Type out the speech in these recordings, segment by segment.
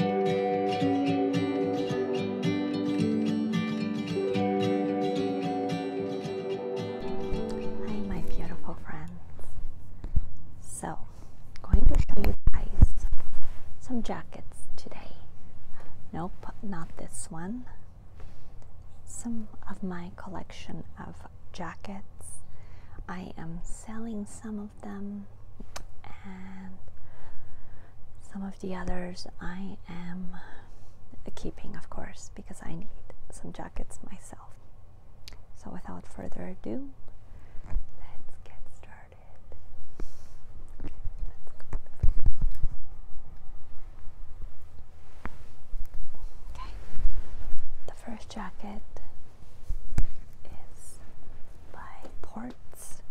Hi, my beautiful friends. So, I'm going to show you guys some jackets today. Nope, not this one. Some of my collection of jackets. I am selling some of them and some of the others I am keeping of course because I need some jackets myself. So without further ado, let's get started. okay, the first jacket is by Port it's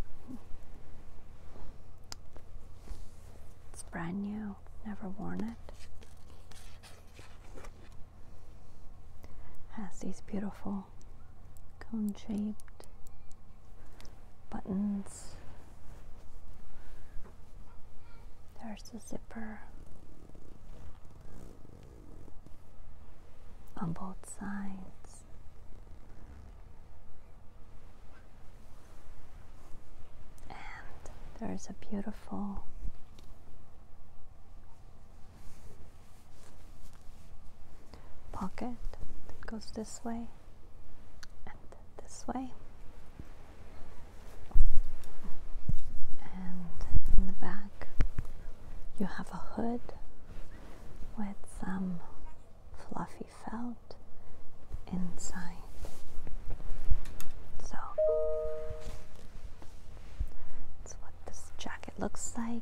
brand new, never worn it. Has these beautiful cone-shaped buttons. There's the zipper on both sides. And there's a beautiful pocket that goes this way and this way. And in the back, you have a hood with some fluffy felt inside. So that's what this jacket looks like,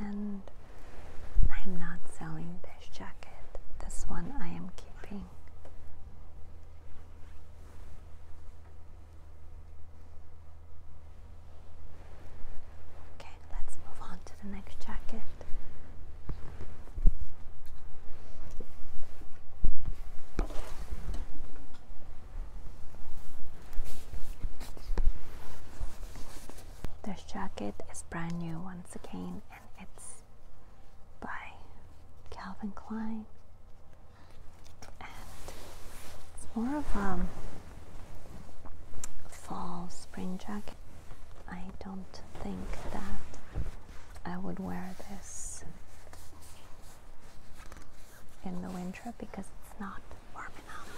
and I'm not selling this jacket. This one I am keeping. Okay, let's move on to the next jacket. This jacket is brand new once again and it's by Calvin Klein and it's more of a um, fall spring jacket. I don't think that I would wear this in the winter because it's not warm enough.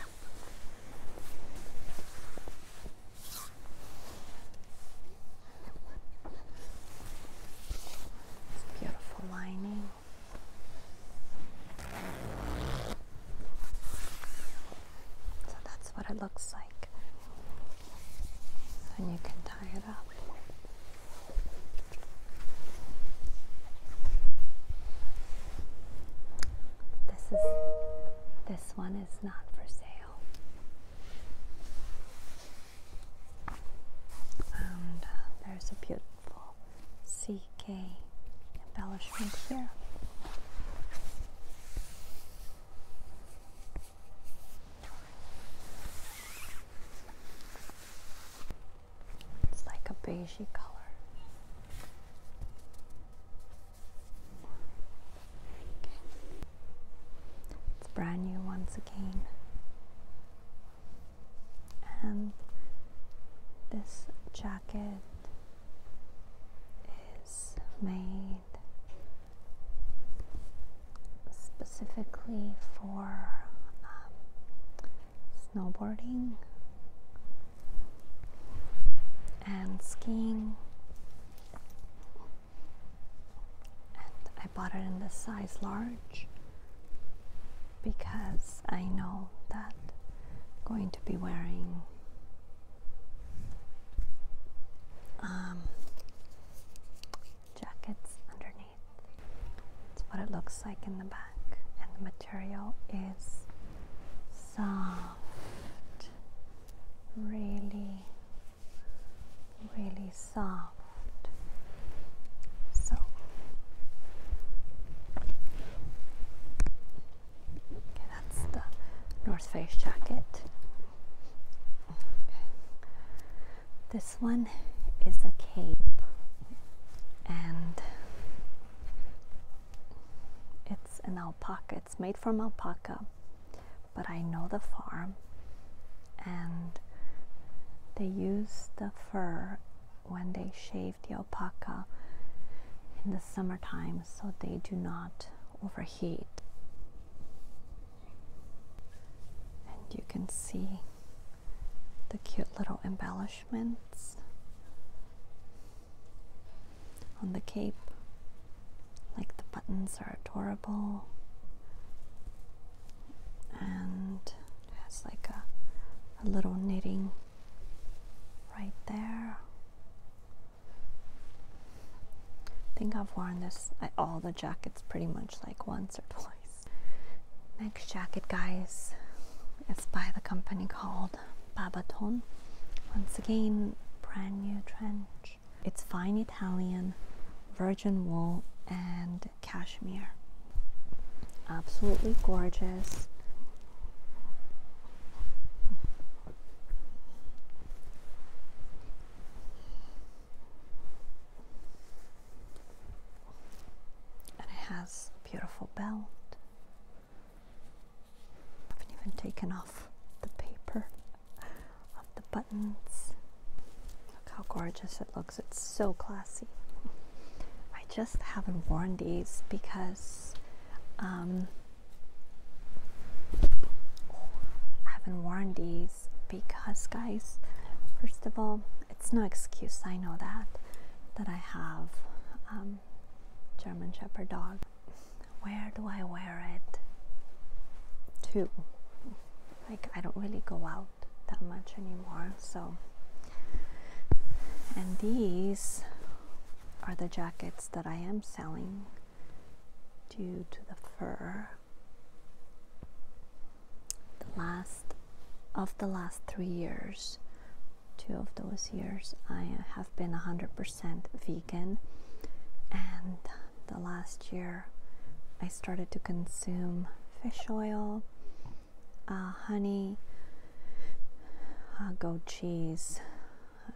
beautiful lining. So that's what it looks like. And you can tie it up. This is this one is not for sale. And uh, there's a beautiful CK embellishment here. It's like a beigey color. It's brand new once again. And this jacket is made specifically for um, snowboarding and skiing I bought it in the size large because I know that going to be wearing um, jackets underneath. That's what it looks like in the back, and the material is soft, really, really soft. So, that's the North Face jacket. This one is a cape and it's an alpaca. It's made from alpaca, but I know the farm and they use the fur when they shave the alpaca in the summertime so they do not overheat. And you can see the cute little embellishments on the cape. Like the buttons are adorable and has like a, a little knitting right there. I think I've worn this all the jackets pretty much like once or twice. Next jacket, guys, is by the company called Babaton. Once again, brand new trench. It's fine Italian, virgin wool, and cashmere. Absolutely gorgeous. And it has beautiful belt. I haven't even taken off the paper of the buttons. Look how gorgeous it looks. It's so classy. I just haven't worn these because um, I haven't worn these because, guys, first of all, it's no excuse. I know that that I have um, German Shepherd dog. Where do I wear it? Too. like I don't really go out that much anymore, so and these are the jackets that I am selling due to the fur. The last of the last three years, two of those years, I have been 100% vegan, and the last year I started to consume fish oil, uh, honey, go cheese.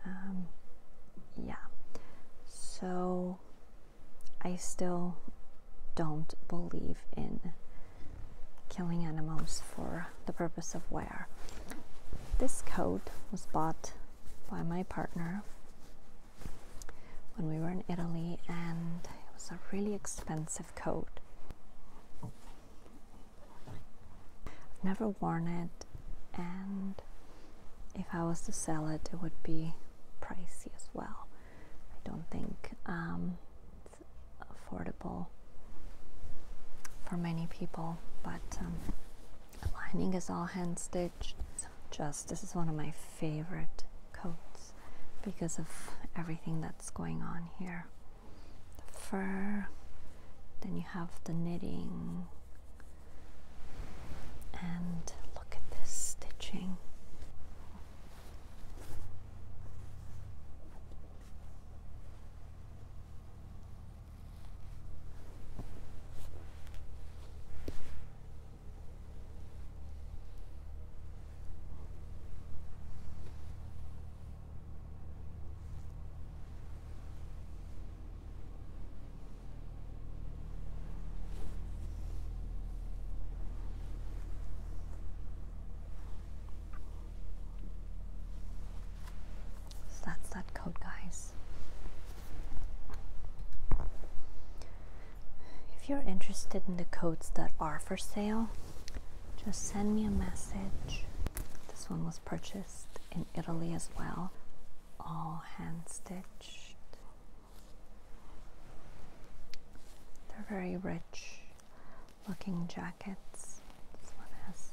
Um, yeah. So I still don't believe in killing animals for the purpose of wear. This coat was bought by my partner when we were in Italy and it was a really expensive coat. I've never worn it, and if I was to sell it, it would be pricey as well. I don't think um, it's affordable for many people, but um, the lining is all hand stitched. Just this is one of my favorite coats because of everything that's going on here the fur, then you have the knitting, and look at this stitching that's that coat, guys. If you're interested in the coats that are for sale, just send me a message. This one was purchased in Italy as well, all hand stitched. They're very rich looking jackets. This one has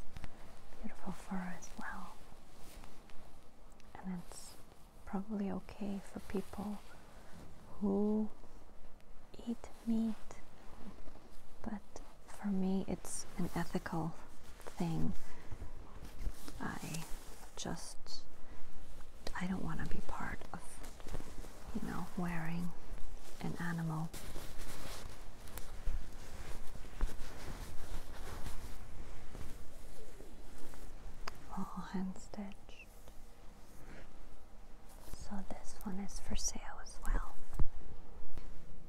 beautiful fur as well. And it's probably okay for people who eat meat, but for me it's an ethical thing. I just I don't want to be part of you know wearing an animal. All hand So this one is for sale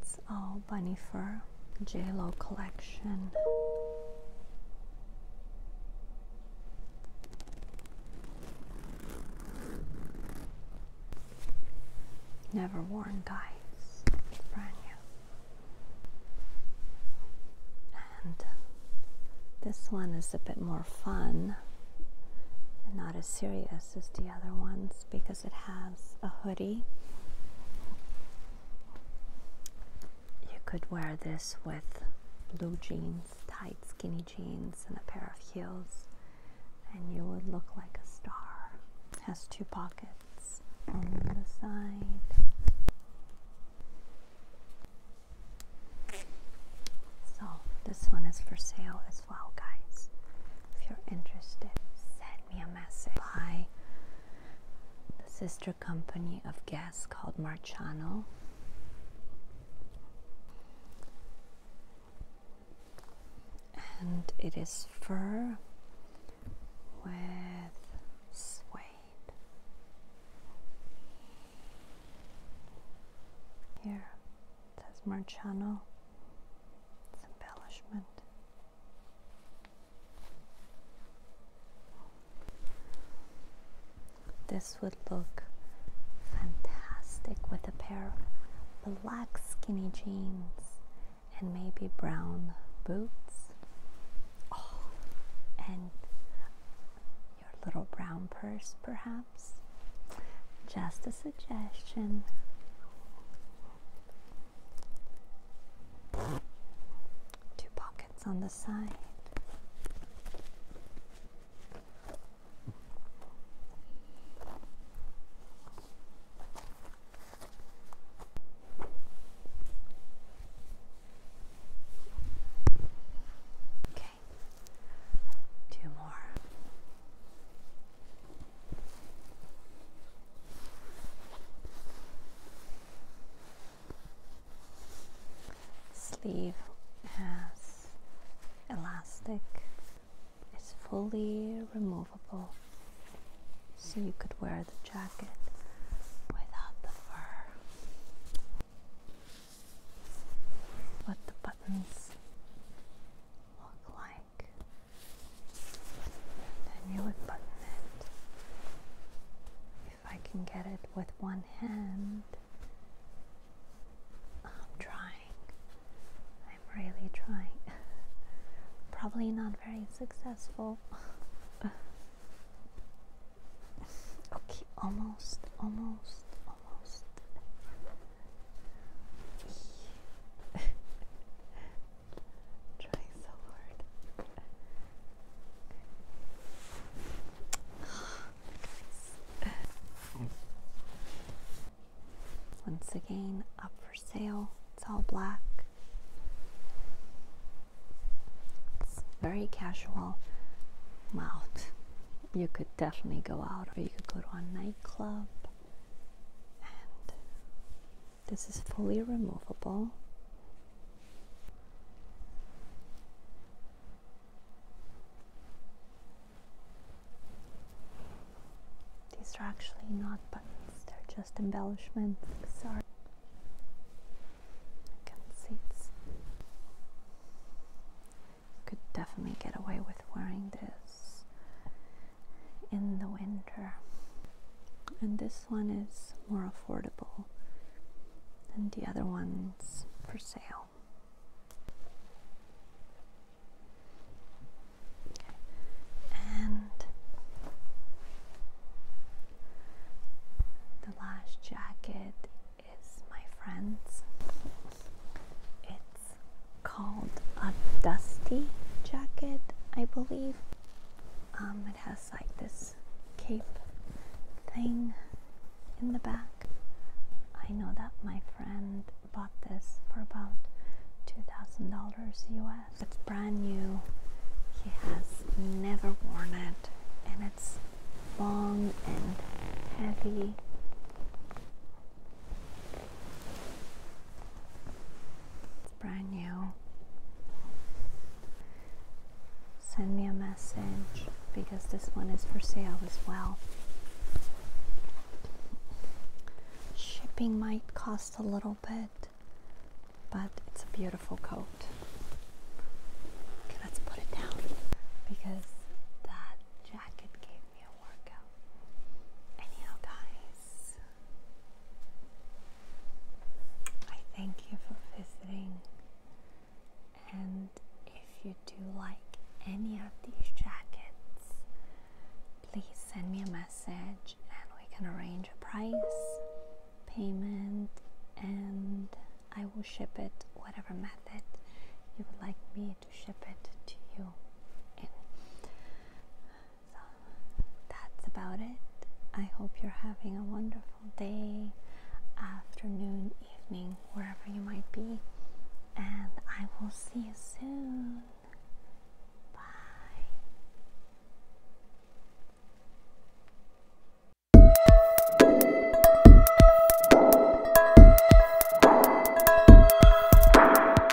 it's all bunny fur, J-Lo collection. Never worn guys, brand new. And this one is a bit more fun and not as serious as the other ones because it has a hoodie. You could wear this with blue jeans, tight skinny jeans, and a pair of heels, and you would look like a star. has two pockets on the side. So, this one is for sale as well, guys. If you're interested, send me a message by the sister company of gas called Marciano. And it is fur with suede. Here more Marciano. It's embellishment. This would look fantastic with a pair of black skinny jeans and maybe brown boots. Oh, and your little brown purse, perhaps. Just suggestion. Two pockets on the side. Okay. Two more. Sleeve has elastic, it's fully removable, so you could wear the jacket without the fur. What the buttons look like. Then you would button it. If I can get it with one hand, I'm trying. I'm really trying. Probably not very successful. okay, almost, almost, almost. Trying so hard. Once again, up for sale. It's all black. It's very casual. Wow, you could definitely go out, or you could go to a nightclub this is fully removable. These are actually not buttons, they're just embellishments. Sorry. I can see Could definitely get away with wearing this in the winter. And this one is more affordable than the other ones for sale. And the last jacket is my friend's. It's called a dusty jacket, I believe. Um, it has like this cape thing in the back. I know that my friend bought this for about $2,000 US. It's brand new. He has never worn it and it's long and heavy. It's brand new. Send me a message because this one is for sale as well. Shipping might cost a little bit, but it's a beautiful coat. Okay, let's put it down because that jacket gave Anyhow, guys, I thank you for visiting. And if you do like any of these jackets, please send me a message and we can arrange a price, payment, and I will ship it whatever method you would like me to ship it to you. And that's about it. I hope you're having a wonderful day, afternoon, evening, wherever you might be. And I will see you soon. Bye.